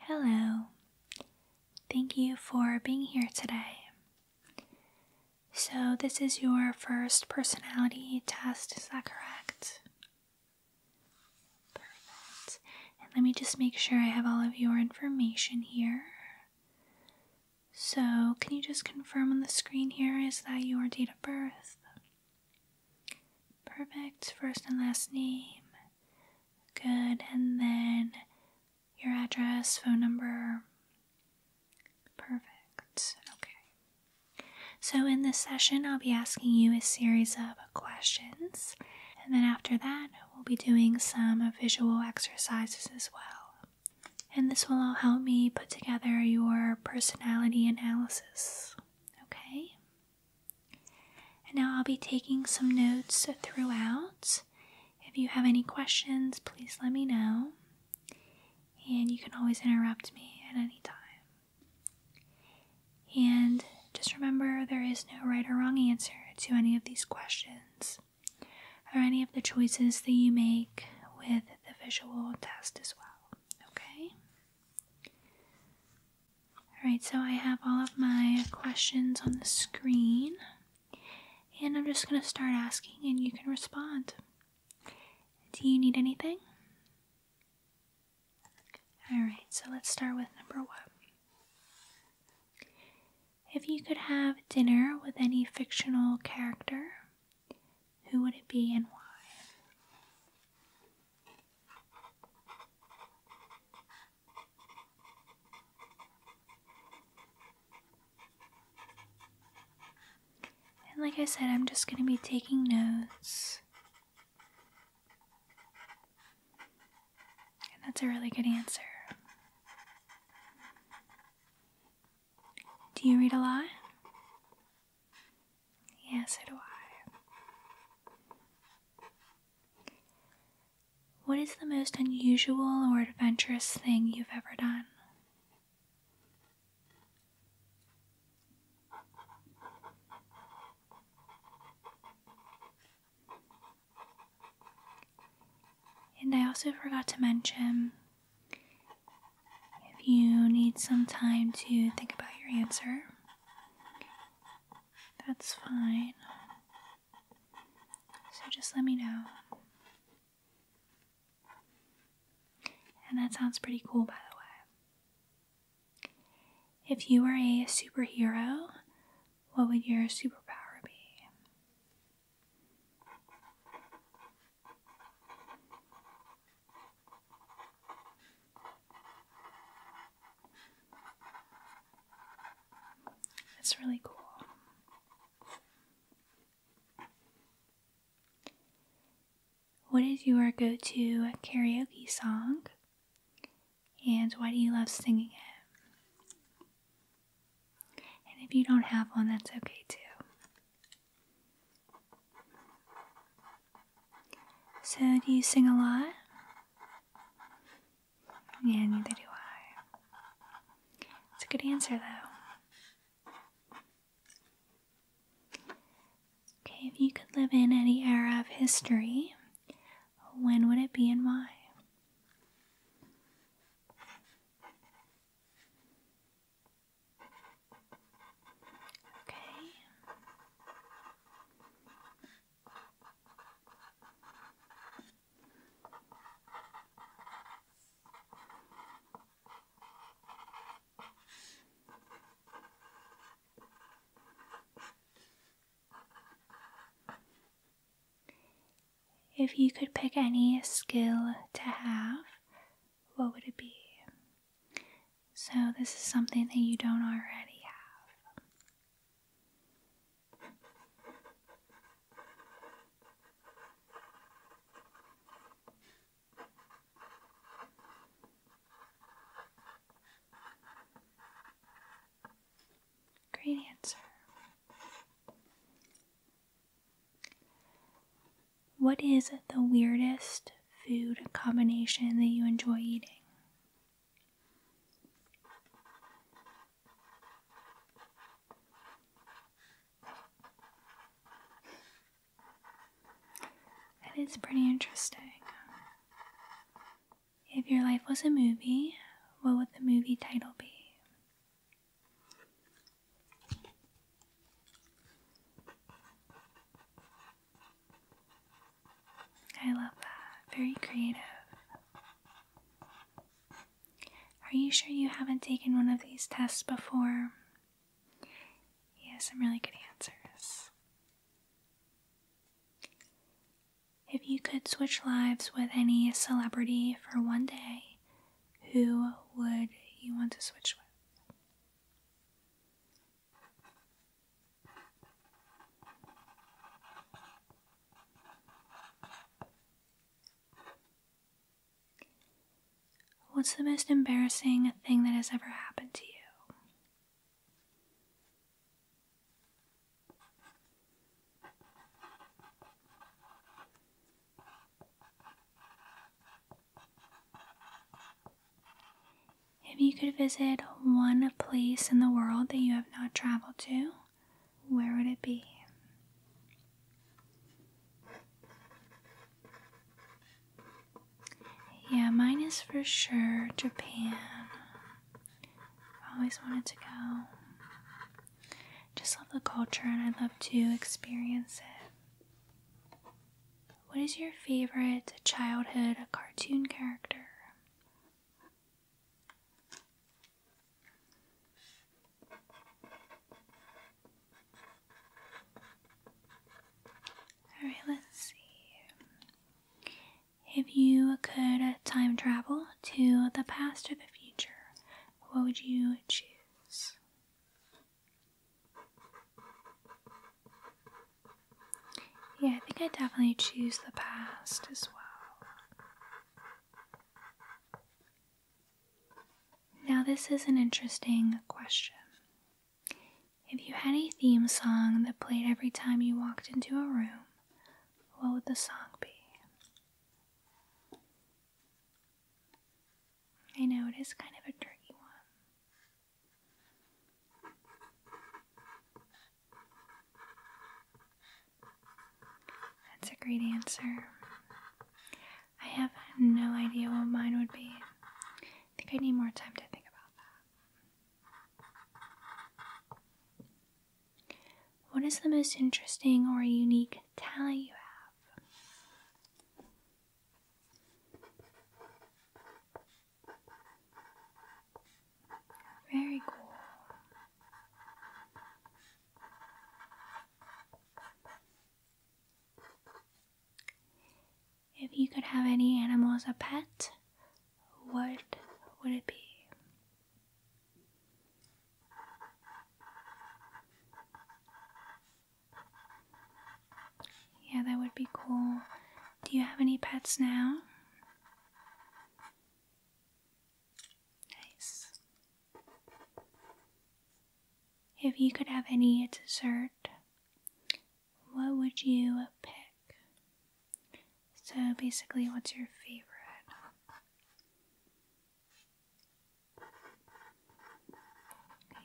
Hello. Thank you for being here today. So, this is your first personality test, is that correct? Perfect. And let me just make sure I have all of your information here. So, can you just confirm on the screen here is that your date of birth? Perfect first and last name. Good, and then your address, phone number. Perfect. Okay. So, in this session, I'll be asking you a series of questions, and then after that, we'll be doing some visual exercises as well. And this will all help me put together your personality analysis okay? And now I'll be taking some notes throughout. If you have any questions, please let me know. And you can always interrupt me at any time. And just remember there is no right or wrong answer to any of these questions or any of the choices that you make with the visual test as well. Okay? Alright, so I have all of my questions on the screen, and I'm just going to start asking, and you can respond. Do you need anything? Alright, so let's start with number one. If you could have dinner with any fictional character, who would it be and why? And like I said, I'm just going to be taking notes. that's a really good answer. Do you read a lot? Yes, so do I. What is the most unusual or adventurous thing you've ever done? And I also forgot to mention if you need some time to think about your answer, that's fine. So just let me know. And that sounds pretty cool, by the way. If you were a superhero, what would your superpower be? That's really cool. What is your go to karaoke song? And why do you love singing it? And if you don't have one, that's okay too. So, do you sing a lot? Yeah, neither do I. It's a good answer, though. Okay, if you could live in any era of history, when would it be and why? Okay. If you could pick any skill to have, what would it be? So, this is something that you don't already have. Great answer. What is the weirdest food combination that you enjoy eating? That is pretty interesting. If your life was a movie, what would the movie title be? I love that. Very creative. Are you sure you haven't taken one of these tests before? He has some really good answers. If you could switch lives with any celebrity for one day, who would you want to switch with? What's the most embarrassing thing that has ever happened to you? If you could visit one place in the world that you have not traveled to, where would it be? Yeah, mine is for sure Japan. I've always wanted to go. Just love the culture and I'd love to experience it. What is your favorite childhood cartoon character? Alright, let's see. If you could time travel to the past or the future, what would you choose? Yeah, I think I definitely choose the past as well. Now, this is an interesting question. If you had a theme song that played every time you walked into a room, what would the song be? I know it is kind of a tricky one. That's a great answer. I have no idea what mine would be. I think I need more time to think about that. What is the most interesting or unique talent you have. Very cool. If you could have any animal as a pet, what would it be? Yeah, that would be cool. Do you have any pets now? Nice. If you could have any dessert, what would you pick? So basically, what's your favorite?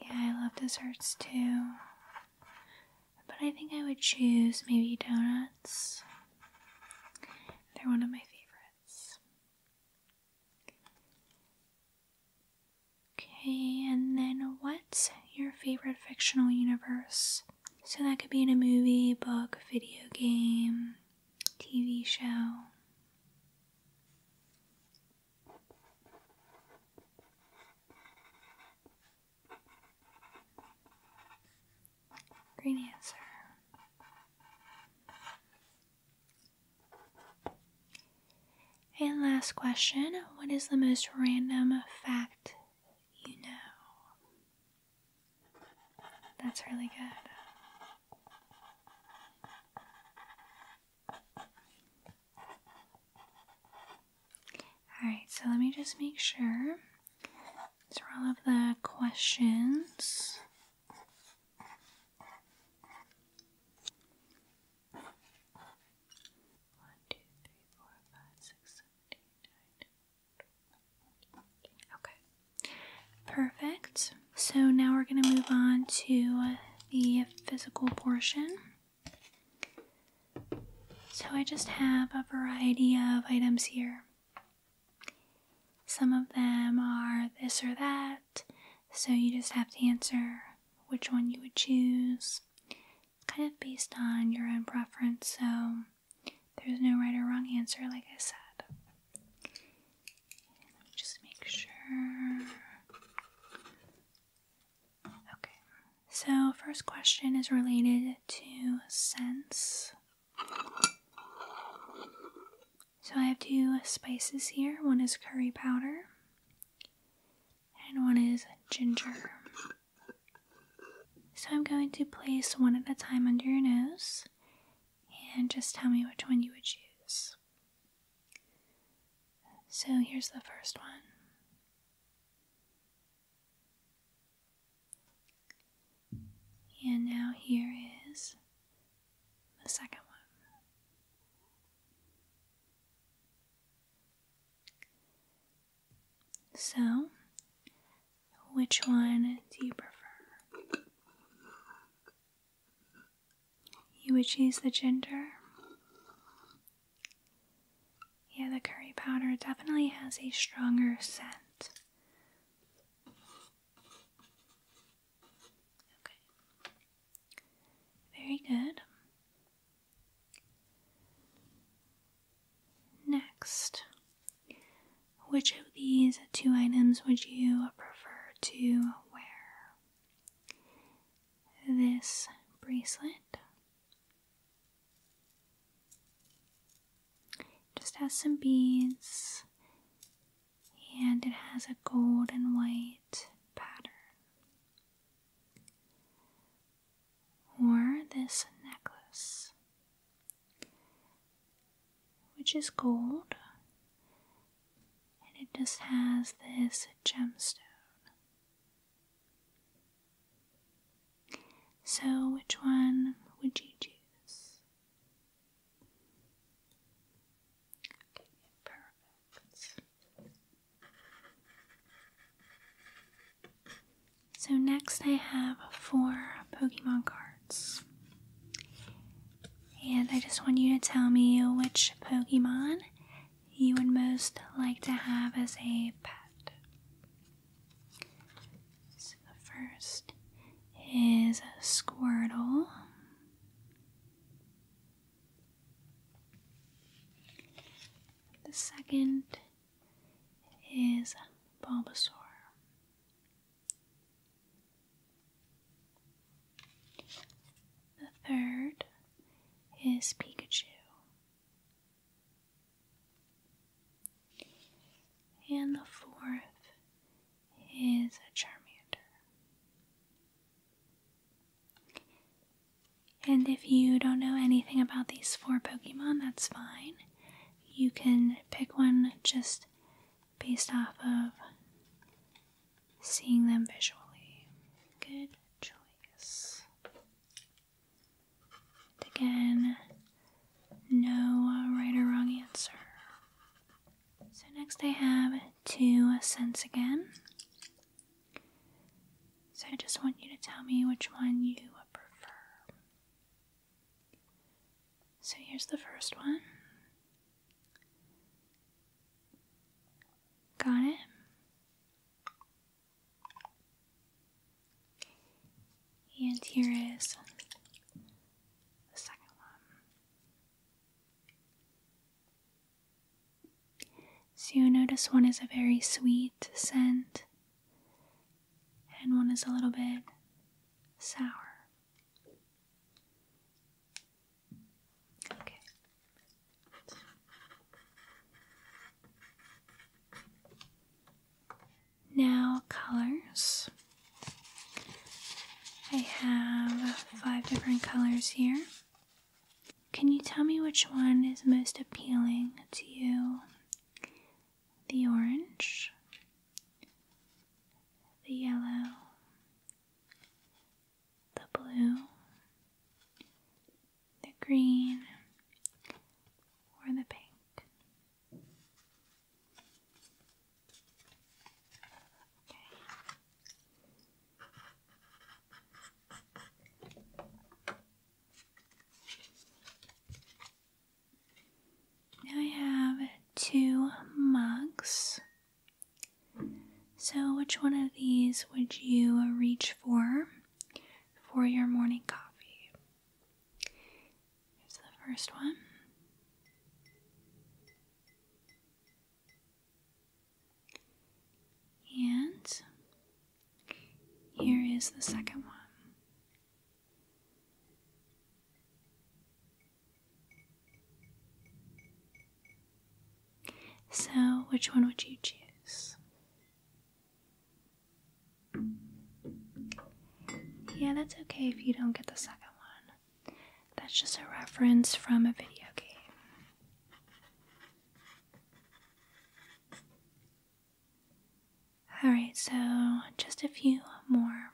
Yeah, I love desserts too. But I think I would choose maybe donuts. They're one of my favorites. Okay, and then what's your favorite fictional universe? So that could be in a movie, book, video game, TV show. Green answer. And last question What is the most random fact you know? That's really good. Alright, so let me just make sure. These are all of the questions. One, two, three, four, five, six, seven, eight, nine. Okay. Perfect. So now we're going to move on to the physical portion. So I just have a variety of items here. Some of them are this or that, so you just have to answer which one you would choose, kind of based on your own preference, so there's no right or wrong answer, like I said just make sure. Okay, so first question is related to sense. So I have two spices here one is curry powder, and one is ginger. So I'm going to place one at a time under your nose and just tell me which one you would choose. So here's the first one. And now here is the second one. So, which one do you prefer? You would choose the ginger. Yeah, the curry powder definitely has a stronger scent. Okay. Very good. Next, which of these two items would you prefer to wear? This bracelet just has some beads and it has a gold and white pattern. Or this necklace which is gold, and it just has this gemstone. So, which one would you choose? So, next I have four Pokemon cards. And I just want you to tell me which Pokemon you would most like to have as a pet. So the first is Squirtle. The second is Bulbasaur. The third is Pikachu. And the fourth is a Charmander. And if you don't know anything about these four Pokemon, that's fine. You can pick one just based off of seeing them visually. Good choice. again, no right or wrong answer. So, next I have two cents again. So, I just want you to tell me which one you would prefer. So here's the first one. Got it? And here is the second one. So you notice one is a very sweet scent and one is a little bit sour. Now, colors. I have five different colors here. Can you tell me which one is most appealing to you the orange, the yellow, the blue, the green, or the pink. Now I have two mugs. So, which one of these would you reach for for your morning coffee? Here's the first one. And here is the second one. So, which one would you choose? Yeah, that's okay if you don't get the second one. That's just a reference from a video game. Alright, so just a few more.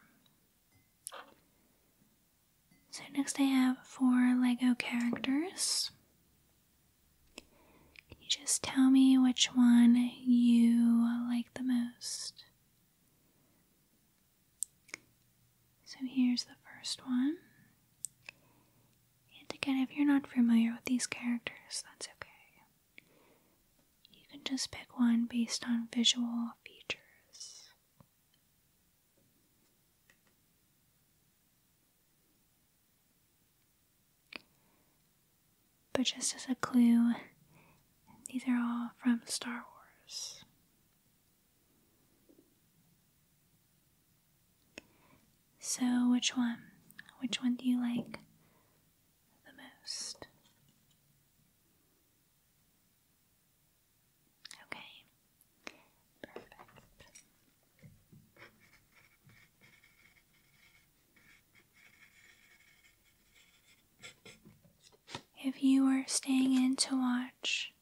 So, next I have four Lego characters. just tell me which one you like the most? So, here's the first one. And again, if you're not familiar with these characters, that's okay. You can just pick one based on visual features. But just as a clue, these are all from Star Wars. So, which one? Which one do you like? the most. Okay, perfect. If you were staying in to watch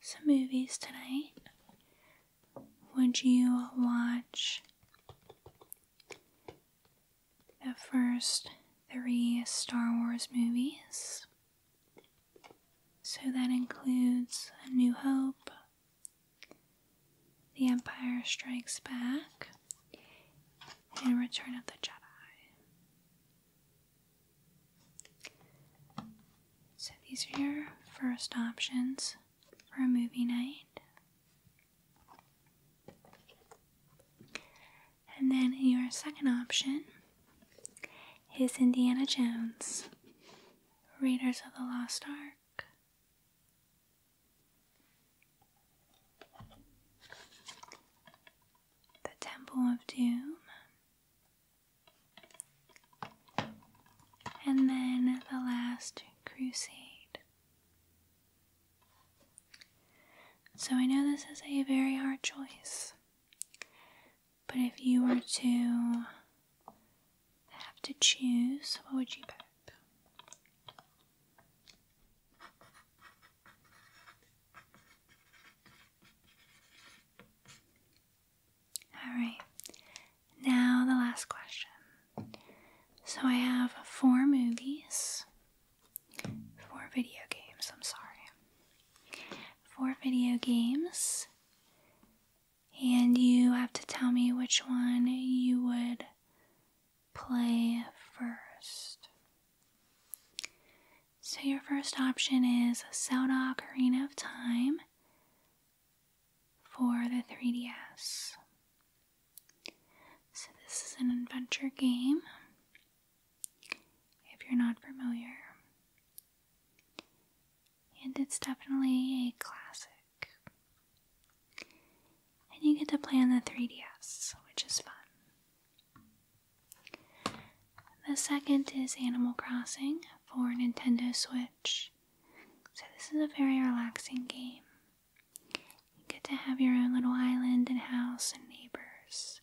some movies tonight, would you watch the first three Star Wars movies. So that includes A New Hope, The Empire Strikes Back, and Return of the Jedi. So these are your first options for a movie night. And then your second option is Indiana Jones, Raiders of the Lost Ark. The Temple of Doom. And then the last crusade. So I know this is a very hard choice, but if you were to have to choose, what would you pick? All right, now the last question. So I have four movies, four video games, I'm sorry. Four video games, and you have to tell me which one you would play first. So your first option is Zelda Ocarina of Time for the 3DS. So, this is an adventure game. If you're not familiar, and it's definitely a classic. And you get to play on the 3DS, which is fun. The second is Animal Crossing for Nintendo Switch. So, this is a very relaxing game. You get to have your own little island and house and neighbors.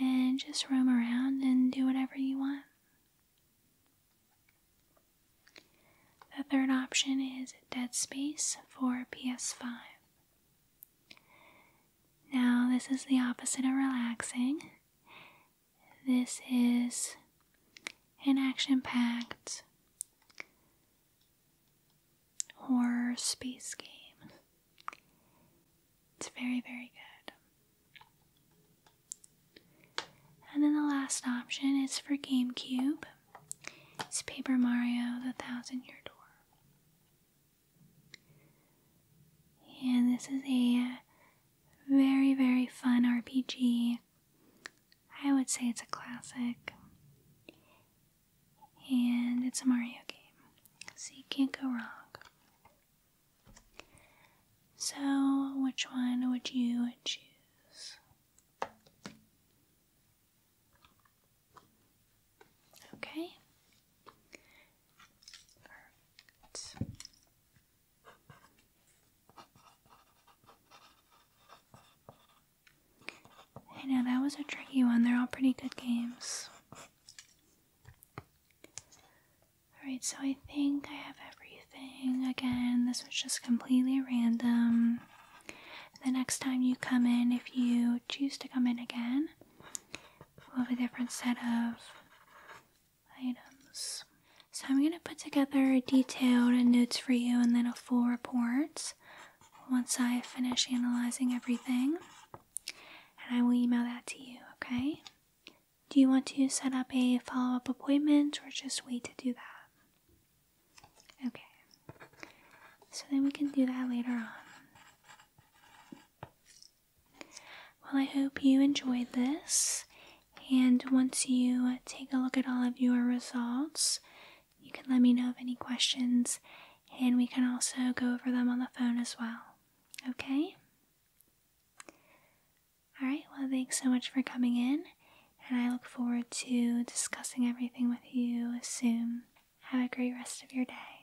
And just roam around and do whatever you want. The third option is Dead Space for PS5. Now, this is the opposite of relaxing. This is an action packed horror space game. It's very, very good. And then the last option is for GameCube. It's Paper Mario The Thousand Year Door. And this is a very, very fun RPG I would say it's a classic. And it's a Mario game, so you can't go wrong. So, which one would you choose? Okay. I know that was a tricky one. They're all pretty good games. Alright, so I think I have everything. Again, this was just completely random. The next time you come in, if you choose to come in again, we'll have a different set of items. So I'm going to put together detailed notes for you and then a full report once I finish analyzing everything. And I will email that to you, okay? Do you want to set up a follow up appointment or just wait to do that? Okay. So then we can do that later on. Well, I hope you enjoyed this and once you take a look at all of your results, you can let me know of any questions and we can also go over them on the phone as well. Okay? Alright, well, thanks so much for coming in, and I look forward to discussing everything with you soon. Have a great rest of your day.